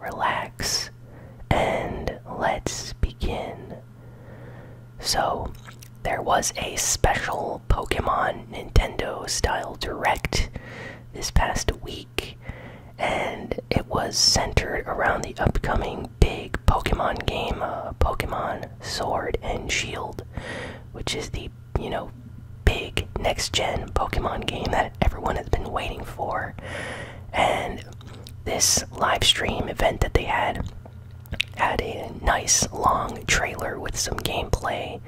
relax, and let's begin. So, there was a special Pokemon Nintendo style direct this past week, and it was centered around the upcoming big Pokemon game, uh, Pokemon Sword and Shield, which is the, you know, big next gen Pokemon game that everyone has been waiting for. And this live stream event that they had had a nice long trailer with some gameplay.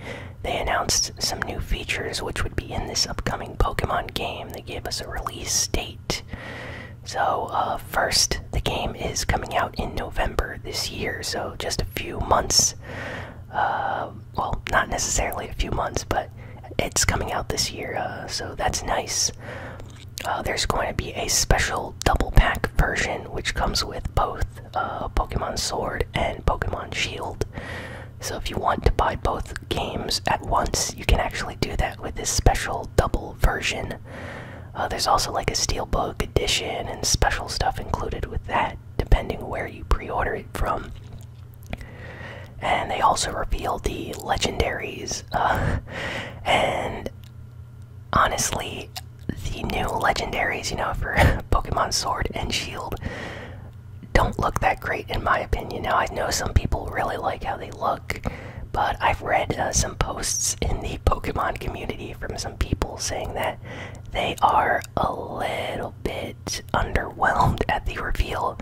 They announced some new features which would be in this upcoming Pokemon game. They gave us a release date. So, uh, first, the game is coming out in November this year, so just a few months. Uh, well, not necessarily a few months, but it's coming out this year, uh, so that's nice. Uh, there's going to be a special double pack version which comes with both uh, Pokemon Sword and Pokemon Shield. So if you want to buy both games at once, you can actually do that with this special double version. there's also like a Steelbook edition and special stuff included with that, depending where you pre order it from. And they also revealed the legendaries. Uh, and honestly, the new legendaries, you know, for Pokemon Sword and Shield, don't look that great in my opinion. Now, I know some people really like how they look, but I've read uh, some posts in the Pokemon community from some people saying that they are a little bit underwhelmed at the reveal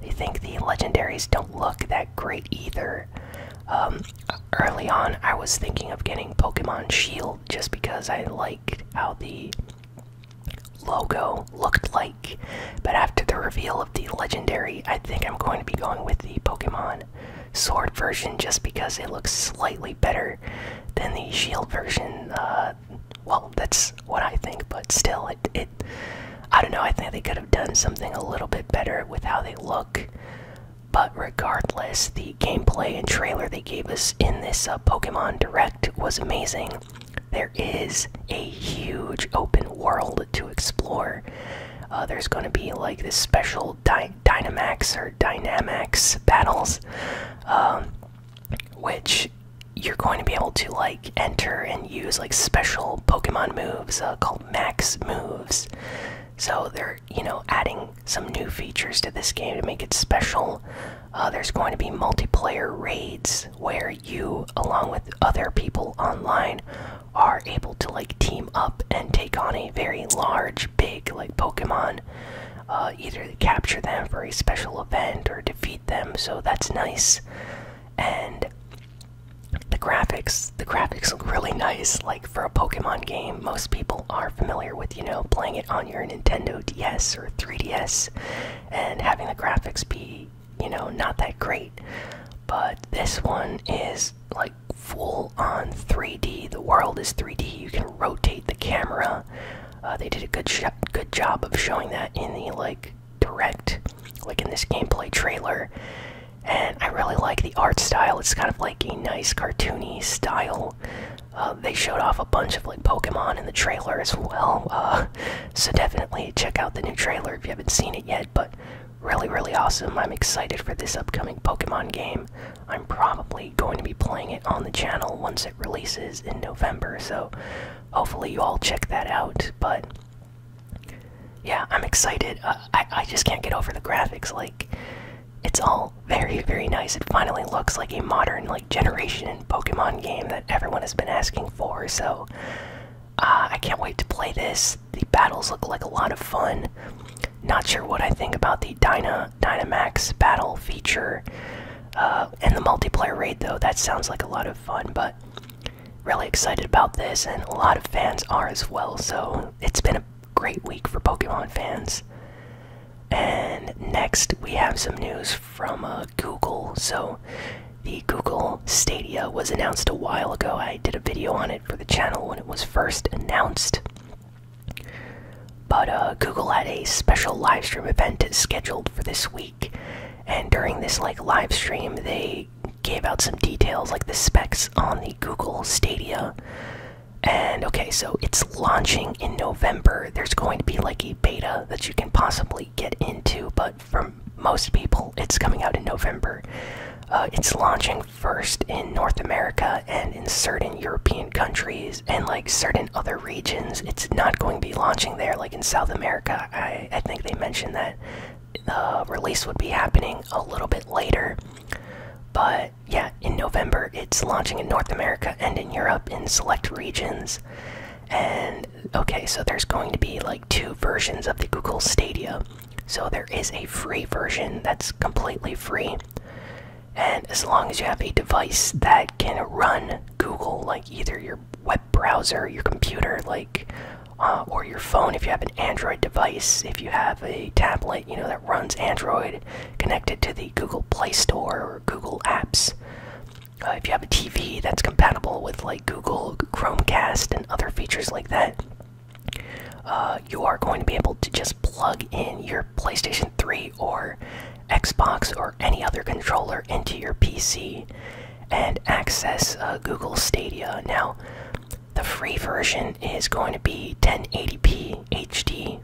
they think the legendaries don't look that great either. Um, early on, I was thinking of getting Pokemon Shield just because I liked how the logo looked like, but after the reveal of the legendary, I think I'm going to be going with the Pokemon Sword version just because it looks slightly better than the Shield version. Uh, well, that's what I think, but still, it, I don't know. I think they could have done something a little bit better with how they look. But regardless, the gameplay and trailer they gave us in this uh, Pokemon Direct was amazing. There is a huge open world to explore. Uh, there's going to be like this special dy Dynamax or Dynamax battles, um, which you're going to be able to like enter and use like special Pokemon moves uh, called max moves. So they're you know adding some new features to this game to make it special. Uh, there's going to be multiplayer raids where you, along with other people online, are able to like team up and take on a very large, big like Pokemon. Uh, either capture them for a special event or defeat them, so that's nice. And the graphics the graphics look really nice like for a pokemon game most people are familiar with you know playing it on your nintendo ds or 3ds and having the graphics be you know not that great but this one is like full on 3d the world is 3d you can rotate the camera uh, they did a good good job of showing that in the like direct, like in this gameplay trailer. And I really like the art style. It's kind of like a nice cartoony style. Uh, they showed off a bunch of like Pokemon in the trailer as well, uh, so definitely check out the new trailer if you haven't seen it yet. But really, really awesome. I'm excited for this upcoming Pokemon game. I'm probably going to be playing it on the channel once it releases in November, so hopefully you all check that out. But yeah, I'm excited. Uh, I I just can't get over the graphics. Like, it's all very very nice. It finally looks like a modern like generation in Pokemon game that everyone has been asking for. So, uh, I can't wait to play this. The battles look like a lot of fun. Not sure what I think about the Dyna Dynamax battle feature uh, and the multiplayer raid though. That sounds like a lot of fun, but really excited about this, and a lot of fans are as well. So it's been a great week for Pokemon fans. And next, we have some news from uh, Google. So, the Google Stadia was announced a while ago. I did a video on it for the channel when it was first announced. But uh, Google had a special livestream event scheduled for this week and during this like live stream, they gave out some details like the specs on the Google Stadia. And okay, so it's launching in November. There's going to be like a beta that you can possibly get into, but for most people, it's coming out in November. Uh, it's launching first in North America and in certain European countries and like certain other regions. It's not going to be launching there, like in South America. I, think they mentioned that the release would be happening a little bit later. But yeah, in November it's launching in North America and in Europe in select regions. And okay, so there's going to be like two versions of the Google Stadia. So there is a free version that's completely free. And as long as you have a device that can run Google, like either your web browser, your computer, like, uh, or your phone if you have an Android device, if you have a tablet, you know, that runs Android connected to the Google Play Store or Google Apps. Uh, if you have a TV that's compatible with like Google Chromecast and other features like that, uh, you are going to be able to just plug in your PlayStation 3 or Xbox or any other controller into your PC and access uh, Google Stadia. Now, the free version is going to be 1080p HD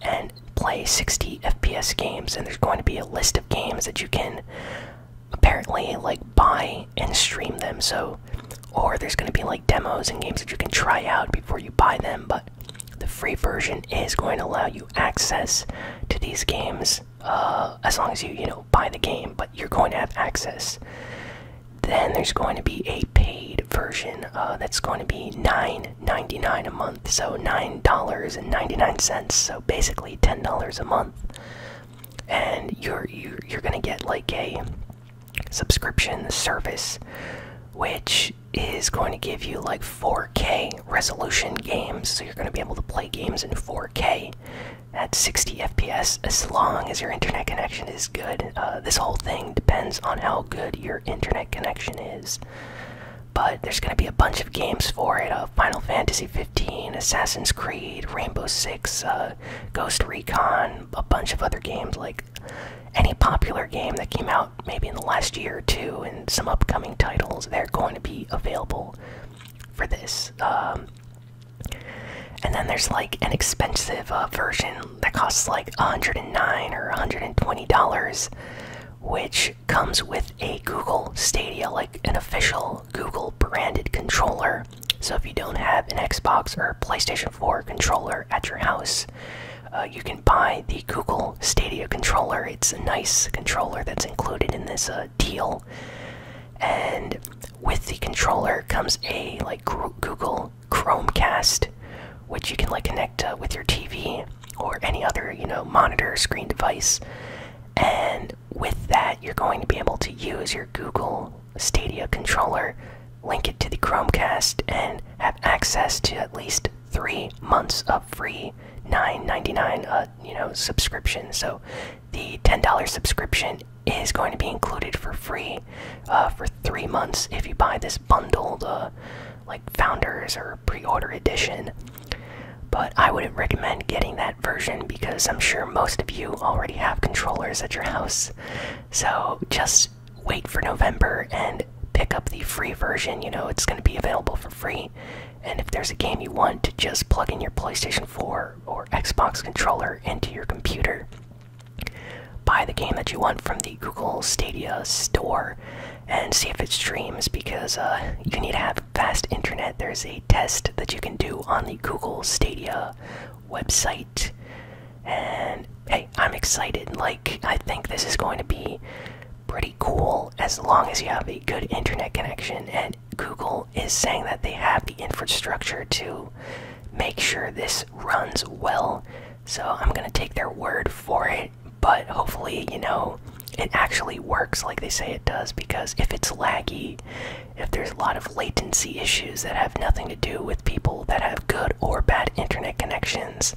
and play 60 FPS games, and there's going to be a list of games that you can apparently like buy and stream them. So, or there's going to be like demos and games that you can try out before you buy them, but the free version is going to allow you access to these games uh, as long as you you know buy the game, but you're going to have access. Then there's going to be a paid version uh, that's going to be $9.99 a month, so $9.99, so basically $10 a month. And you're, you're going to get like a subscription service, which is going to give you like 4K resolution games, so you're going to be able to play games in 4K at 60 FPS as long as your internet connection is good. Uh, this whole thing depends on how good your internet connection is. But there's going to be a bunch of games for it uh, Final Fantasy 15, Assassin's Creed, Rainbow Six, uh, Ghost Recon, a bunch of other games like any popular game that came out maybe in the last year or two, and some upcoming titles. They're going to be available for this. Um, and then there's like an expensive uh, version that costs like 109 or 120 dollars, which comes with a Google Stadia, like an official Google branded controller. So if you don't have an Xbox or PlayStation 4 controller at your house, uh, you can buy the Google Stadia controller. It's a nice controller that's included in this uh, deal. And with the controller comes a like Google Chromecast, which you can like connect uh, with your TV or any other you know monitor screen device. And with that, you're going to be able to use your Google Stadia controller, link it to the Chromecast, and have access to at least three months of free 9.99 uh, you know subscription. So the ten dollar subscription is going to be included for free uh, for three months if you buy this bundle, uh, like founders or pre-order edition. But I wouldn't recommend getting that version because I'm sure most of you already have controllers at your house. So just wait for November and pick up the free version. You know, it's going to be available for free and if there's a game you want to just plug in your PlayStation 4 or Xbox controller into your computer, buy the game that you want from the Google Stadia store and see if it streams because uh, you need to have fast internet. There's a test that you can do on the Google Stadia website. And hey, I'm excited. Like, I think this is going to be pretty cool as long as you have a good internet connection. And Google is saying that they have the infrastructure to make sure this runs well. So I'm going to take their word for it. But hopefully, you know, it actually works like they say it does because if it's laggy, if there's a lot of latency issues that have nothing to do with people that have good or bad internet connections,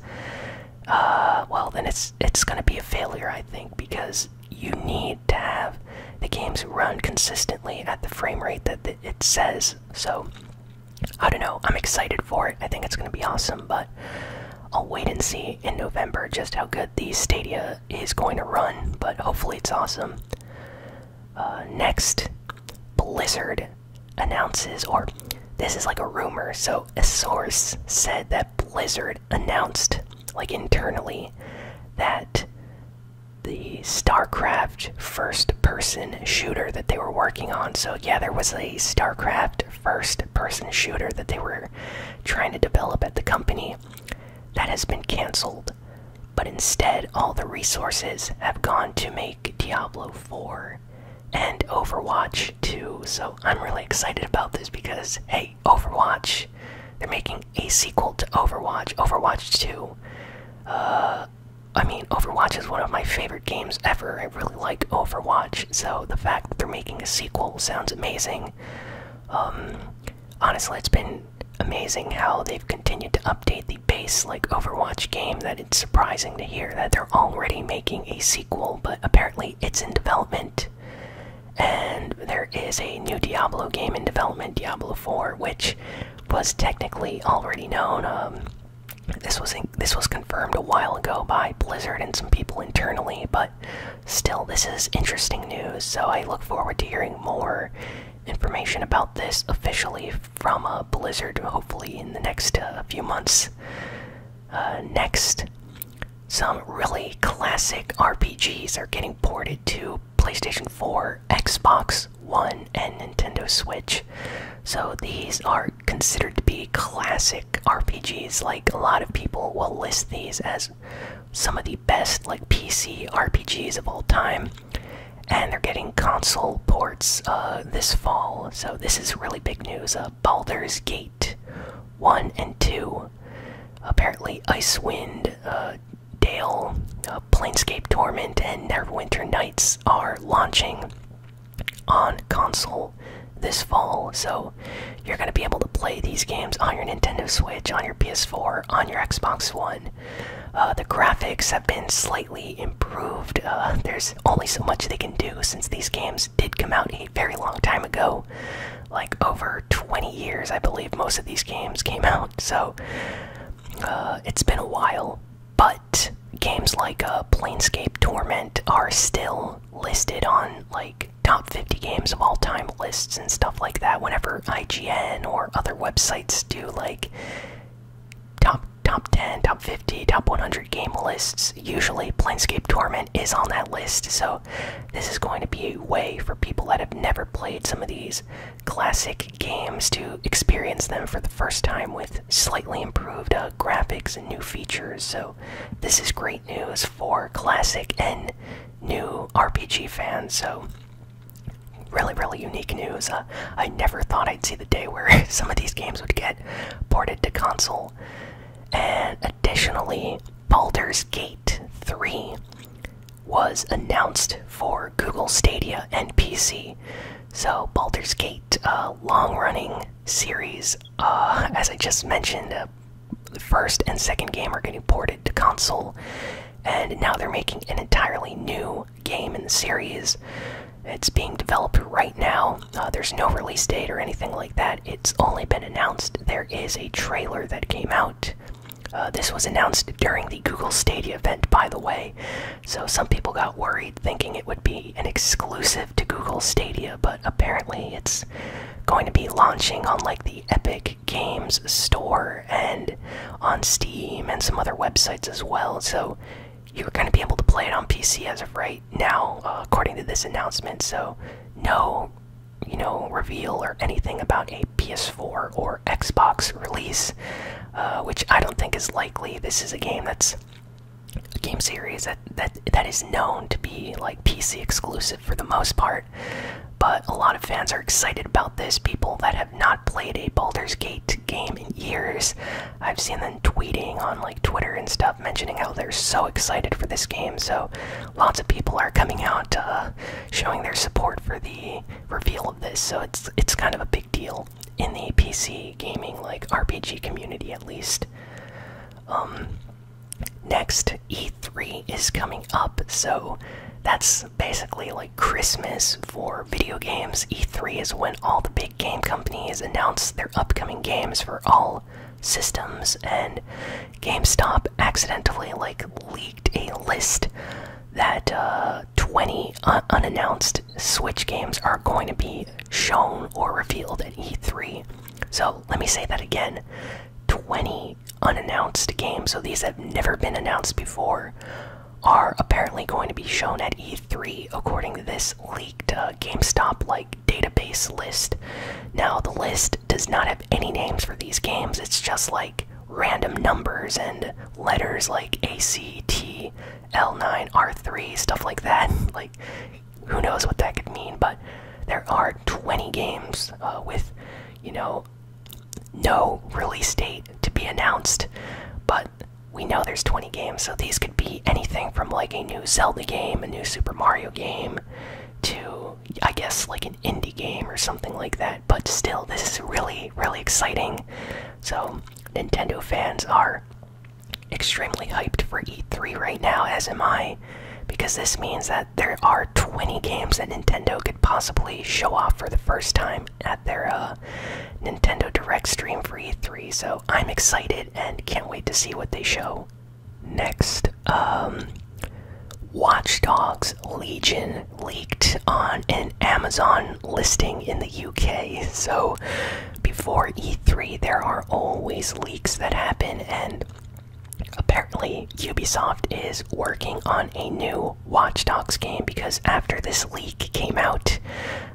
uh, well, then it's it's going to be a failure, I think, because you need to have the games run consistently at the frame rate that it says. So, I don't know. I'm excited for it. I think it's going to be awesome, but I'll wait and see in November just how good the Stadia is going to run. But hopefully, it's awesome. Uh, next, Blizzard announces, or this is like a rumor. So, a source said that Blizzard announced like internally, that the StarCraft first person shooter that they were working on. So, yeah, there was a StarCraft first person shooter that they were trying to develop at the company that has been canceled. But instead, all the resources have gone to make Diablo 4 and Overwatch 2. So, I'm really excited about this because, hey, Overwatch. They're making a sequel to Overwatch, Overwatch 2. Uh, I mean, Overwatch is one of my favorite games ever. I really like Overwatch, so the fact that they're making a sequel sounds amazing. Um, honestly, it's been amazing how they've continued to update the base like Overwatch game. That it's surprising to hear that they're already making a sequel, but apparently it's in development. And there is a new Diablo game in development, Diablo 4, which was technically already known. Um, this was this was confirmed a while ago by Blizzard and some people internally, but still, this is interesting news. So I look forward to hearing more information about this officially from uh, Blizzard, hopefully in the next uh, few months. Uh, next, some really classic RPGs are getting ported to PlayStation 4, Xbox One, and Nintendo Switch. So these are considered to be classic RPGs. Like a lot of people will list these as some of the best like PC RPGs of all time. And they're getting console ports uh, this fall, so this is really big news. Uh, Baldur's Gate 1 and 2. Apparently, Icewind uh, Dale, uh, Planescape Torment, and Neverwinter Nights are launching on console this fall. So, you're going to be able to play these games on your Nintendo Switch, on your PS4, on your Xbox One. Uh, the graphics have been slightly improved. Uh, there's only so much they can do since these games did come out a very long time ago, like over 20 years, I believe. Most of these games came out, so uh, it's been a while. But games like uh, Planescape Torment are still listed on like top 50 games of all time lists and stuff like that. Whenever IGN or other websites do like top top 10, top 50, top 100 game lists, usually Planescape Torment is on that list. So this is going to be a way for people that have never played some of these classic games to experience them for the first time with slightly improved uh, graphics and new features. So, this is great news for classic and new RPG fans. So, really, really unique news. Uh, I never thought I'd see the day where some of these games would get ported to console. Additionally, Baldur's Gate 3 was announced for Google Stadia and PC. So, Baldur's Gate, a uh, long running series, uh, as I just mentioned, uh, the first and second game are getting ported to console, and now they're making an entirely new game in the series. It's being developed right now, there's no release date or anything like that it's only been announced. There is a trailer that came out. Uh, this was announced during the Google Stadia event, by the way. So some people got worried thinking it would be an exclusive to Google Stadia, but apparently it's going to be launching on like the Epic Games Store and on Steam and some other websites as well. So you're going to be able to play it on PC as of right now, uh, according to this announcement. So no you know, reveal or anything about a PS4 or Xbox release, uh, which I don't think is likely. This is a game that's a game series that that that is known to be like PC exclusive for the most part. But a lot of fans are excited about this. People that have not played a Baldur's Gate game in years, I've seen them tweeting on like Twitter and stuff, mentioning how they're so excited for this game. So lots of people are coming out uh, showing their support for the reveal of this, so it's it's kind of a big deal in the PC gaming like RPG community at least. Um, next, E3 is coming up, so that's basically like Christmas for video games. E3 is when all the big game companies announce their upcoming games for all systems and GameStop accidentally like leaked a list that uh, 20 unannounced Switch games are going to be shown or revealed at E3. So let me say that again 20 unannounced games, so these have never been announced before, are apparently going to be shown at E3 according to this leaked uh, GameStop like database list. Now the list does not have any names for these games. It's just like random numbers and letters like A C T L9 R3 stuff like that. like who knows what that could mean, but there are 20 games uh, with you know no release date to be announced, but we know there's 20 games, so these could be anything from like a new Zelda game, a new Super Mario game, to, I guess, like an indie game or something like that. But still, this is really, really exciting. So, Nintendo fans are extremely hyped for E3 right now, as am I, because this means that there are 20 games that Nintendo could possibly show off for the first time at their uh, Nintendo Direct stream for E3. So, I'm excited and can't wait to see what they show. Next, um, Watchdogs Legion leaked on an Amazon listing in the UK. So, before E3, there are always leaks that happen, and apparently, Ubisoft is working on a new Watchdogs game because after this leak came out,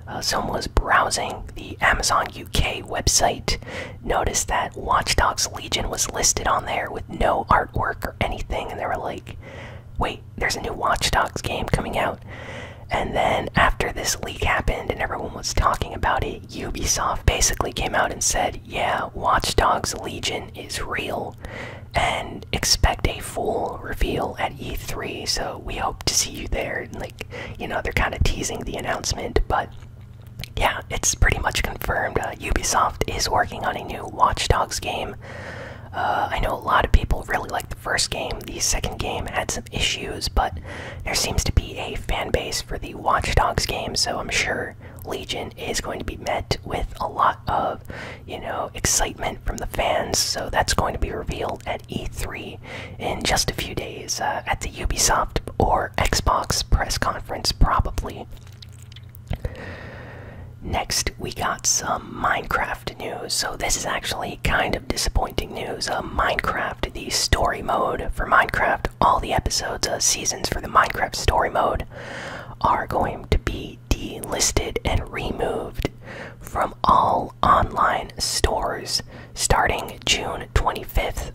uh, someone was browsing the Amazon UK website noticed that Watch Dogs Legion was listed on there with no artwork or anything, and they were like, wait, there's a new Watch Dogs game coming out. And then after this leak happened and everyone was talking about it, Ubisoft basically came out and said, yeah, Watch Dogs Legion is real and expect a full reveal at E3. So we hope to see you there. And like, you know, they're kind of teasing the announcement, but yeah, it's pretty much confirmed. Uh, Ubisoft is working on a new Watch Dogs game. Uh, I know a lot of people really like the first game. The second game had some issues, but there seems to be a fan base for the Watch Dogs game, so I'm sure Legion is going to be met with a lot of, you know, excitement from the fans. So that's going to be revealed at E3 in just a few days uh, at the Ubisoft or Xbox press conference, probably. Next, we got some Minecraft news. So, this is actually kind of disappointing news. Uh, Minecraft, the story mode for Minecraft, all the episodes, uh, seasons for the Minecraft story mode are going to be delisted and removed from all online stores starting June 25th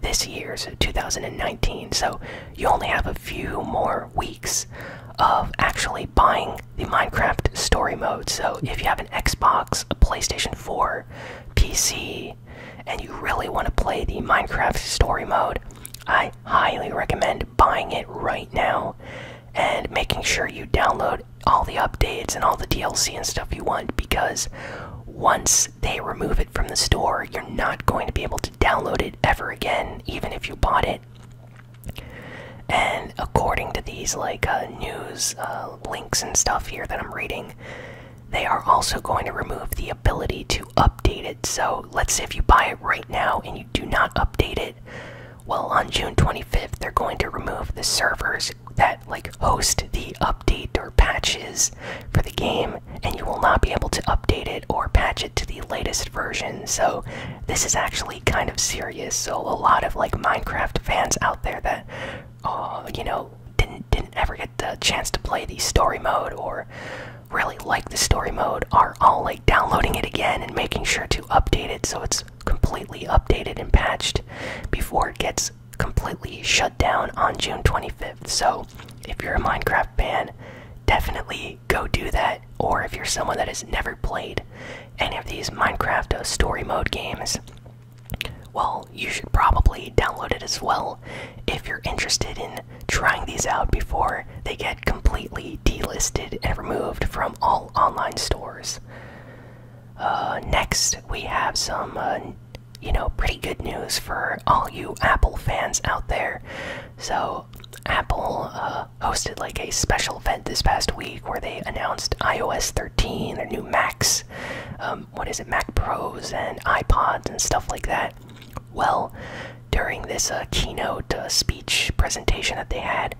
this year's 2019. So you only have a few more weeks of actually buying the Minecraft story mode. So if you have an Xbox, a PlayStation 4, PC, and you really want to play the Minecraft story mode, I highly recommend buying it right now and making sure you download all the updates and all the DLC and stuff you want because once they remove it from the store, you're not going to be able to download it ever again, even if you bought it. And according to these like uh, news uh, links and stuff here that I'm reading, they are also going to remove the ability to update it. So let's say if you buy it right now and you do not update it, well, on June 25th, they're going to remove the servers that like host the update or patches for the game and you will not be able to update it or patch it to the latest version so this is actually kind of serious so a lot of like minecraft fans out there that uh, you know didn't didn't ever get the chance to play the story mode or really like the story mode are all like downloading it again and making sure to update it so it's completely updated and patched before it gets completely shut down on June 25th. So, if you're a Minecraft fan, definitely go do that. Or if you're someone that has never played any of these Minecraft uh, story mode games, well, you should probably download it as well if you're interested in trying these out before they get completely delisted and removed from all online stores. Uh, next, we have some uh, you know, pretty good news for all you Apple fans out there. So, Apple uh, hosted like a special event this past week where they announced iOS 13, their new Macs, um, what is it, Mac Pros and iPods and stuff like that. Well, during this uh, keynote uh, speech presentation that they had,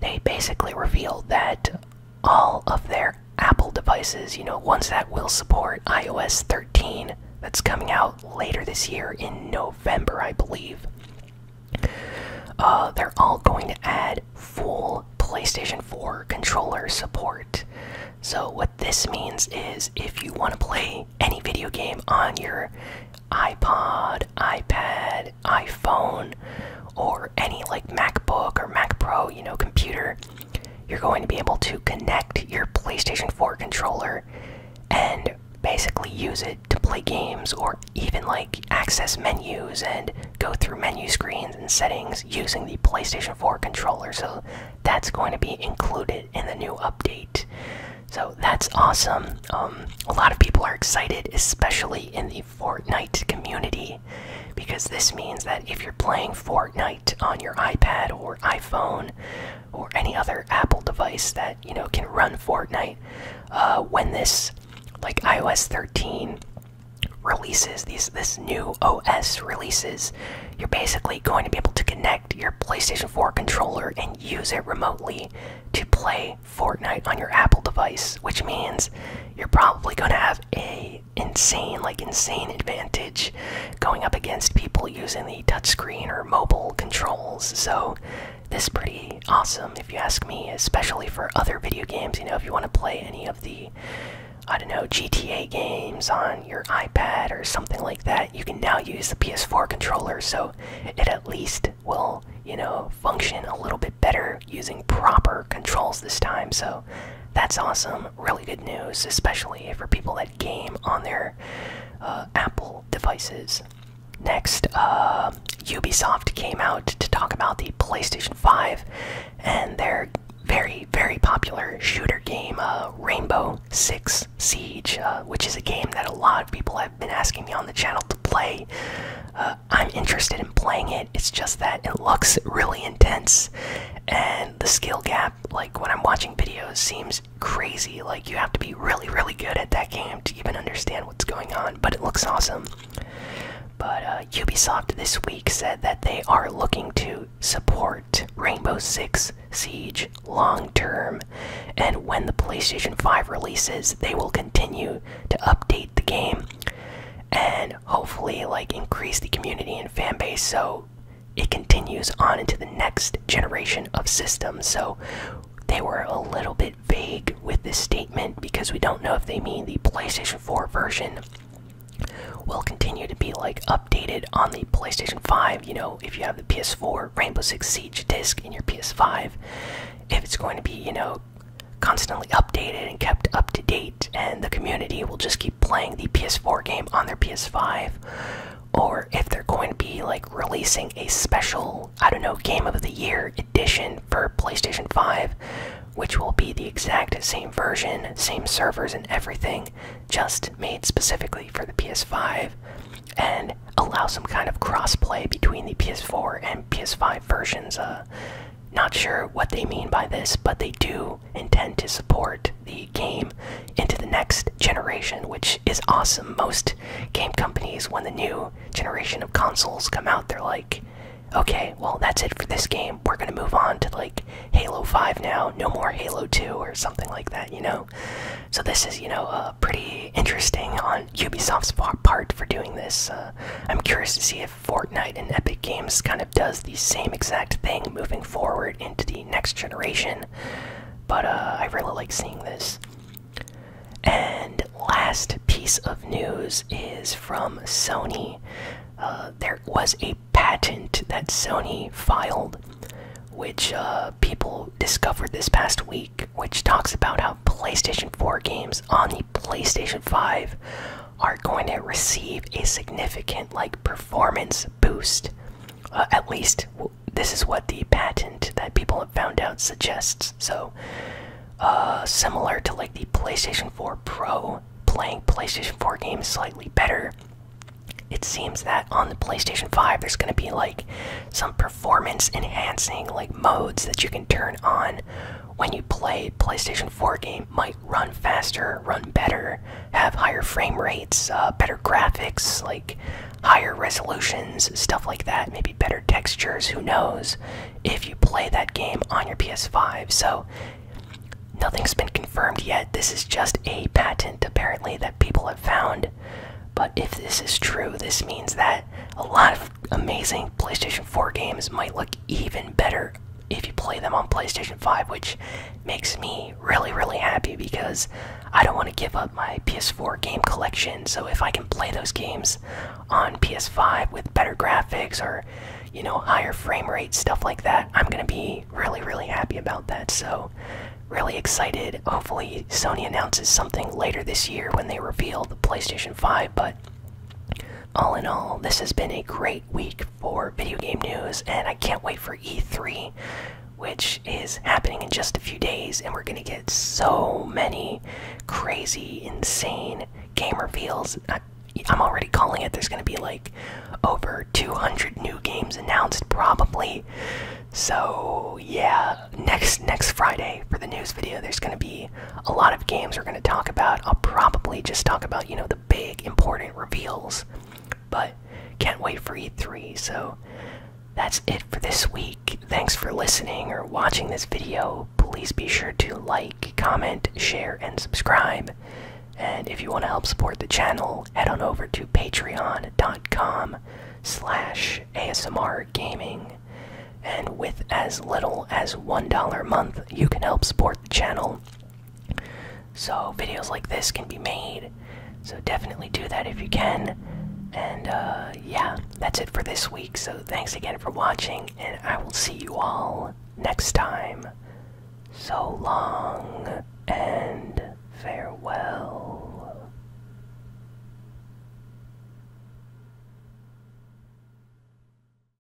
they basically revealed that all of their Apple devices, you know, ones that will support iOS 13 that's coming out later this year in November, I believe. Uh, they're all going to add full PlayStation 4 controller support. So, what this means is if you want to play any video game on your iPod, iPad, iPhone, or any like MacBook or Mac Pro, you know, computer, you're going to be able to connect your PlayStation 4 controller and basically use it to play games or even like access menus and go through menu screens and settings using the PlayStation 4 controller. So that's going to be included in the new update. So that's awesome. Um, a lot of people are excited, especially in the Fortnite community, because this means that if you're playing Fortnite, on your iPad or iPhone or any other Apple device that you know can run Fortnite. Uh, when this, like iOS 13 releases these this new OS releases, you're basically going to be able to connect your PlayStation 4 controller and use it remotely to play Fortnite on your Apple device, which means you're probably going to have a insane, like insane advantage going up against people using the touchscreen or mobile controls. So this is pretty awesome if you ask me, especially for other video games. You know, if you want to play any of the I don't know, GTA games on your iPad or something like that, you can now use the PS4 controller, so it at least will, you know, function a little bit better using proper controls this time. So that's awesome. Really good news, especially for people that game on their uh, Apple devices. Next, uh, Ubisoft came out to talk about the PlayStation 5 and their very, very popular shooter game, uh, Rainbow Six Siege, which is a game that a lot of people have been asking me on the channel to play. I'm interested in playing it, it's just that it looks really intense and the skill gap like when i'm watching videos seems crazy like you have to be really really good at that game to even understand what's going on but it looks awesome but uh, ubisoft this week said that they are looking to support rainbow six siege long term and when the playstation 5 releases they will continue to update the game and hopefully like increase the community and fan base so it continues on into the next generation of systems so they were a little bit vague with this statement because we don't know if they mean the PlayStation 4 version will continue to be like updated on the PlayStation 5 you know if you have the PS4 Rainbow Six Siege disc in your PS5 if it's going to be you know constantly updated and kept up to date and the community will just keep playing the PS4 game on their PS5 or if they're going to be like releasing a special, I don't know, game of the year edition for PlayStation 5, which will be the exact same version, same servers and everything, just made specifically for the PS5 and allow some kind of crossplay between the PS4 and PS5 versions uh, not sure what they mean by this, but they do intend to support the game into the next generation, which is awesome. Most game companies, when the new generation of consoles come out, they're like, okay, well, that's it for this game. We're going to move on to like Halo 5 now, no more Halo 2 or something like that, you know? So, this is, you know, uh, pretty interesting on Ubisoft's part for doing this. Uh, I'm curious to see if Fortnite and Epic Games kind of does the same exact thing moving forward into the next generation. But uh, I really like seeing this. And last piece of news is from Sony. Uh, there was a patent that Sony filed, which uh, people discovered this past week, which talks about how PlayStation 4 games on the PlayStation 5 are going to receive a significant like performance boost. Uh, at least this is what the patent that people have found out suggests. So, uh, similar to like the PlayStation 4 Pro, playing PlayStation 4 games slightly better. It seems that on the PlayStation 5, there's going to be like some performance enhancing like modes that you can turn on when you play PlayStation 4 game might run faster, run better, have higher frame rates, uh, better graphics, like higher resolutions, stuff like that, maybe better textures, who knows, if you play that game on your PS5. So nothing's been confirmed yet. This is just a patent apparently that people have found. But if this is true, this means that a lot of amazing PlayStation 4 games might look even better if you play them on PlayStation 5, which makes me really, really happy because I don't want to give up my PS4 game collection. So if I can play those games on PS5 with better graphics or, you know, higher frame rate, stuff like that, I'm going to be really, really happy about that. So really excited. Hopefully, Sony announces something later this year when they reveal the PlayStation 5, but. All in all, this has been a great week for video game news, and I can't wait for E3, which is happening in just a few days, and we're gonna get so many crazy, insane game reveals. I, I'm already calling it. There's gonna be like over 200 new games announced, probably. So yeah, next next Friday for the news video, there's gonna be a lot of games we're going to talk about. I'll probably just talk about, you know, the big important reveals. But can't wait for E3. So that's it for this week. Thanks for listening or watching this video. Please be sure to like, comment, share, and subscribe. And if you want to help support the channel, head on over to patreon.com slash ASMR gaming. And with as little as $1 a month, you can help support the channel so, videos like this can be made. So, definitely do that if you can. And uh, yeah, that's it for this week. So, thanks again for watching, and I will see you all next time. So long and farewell.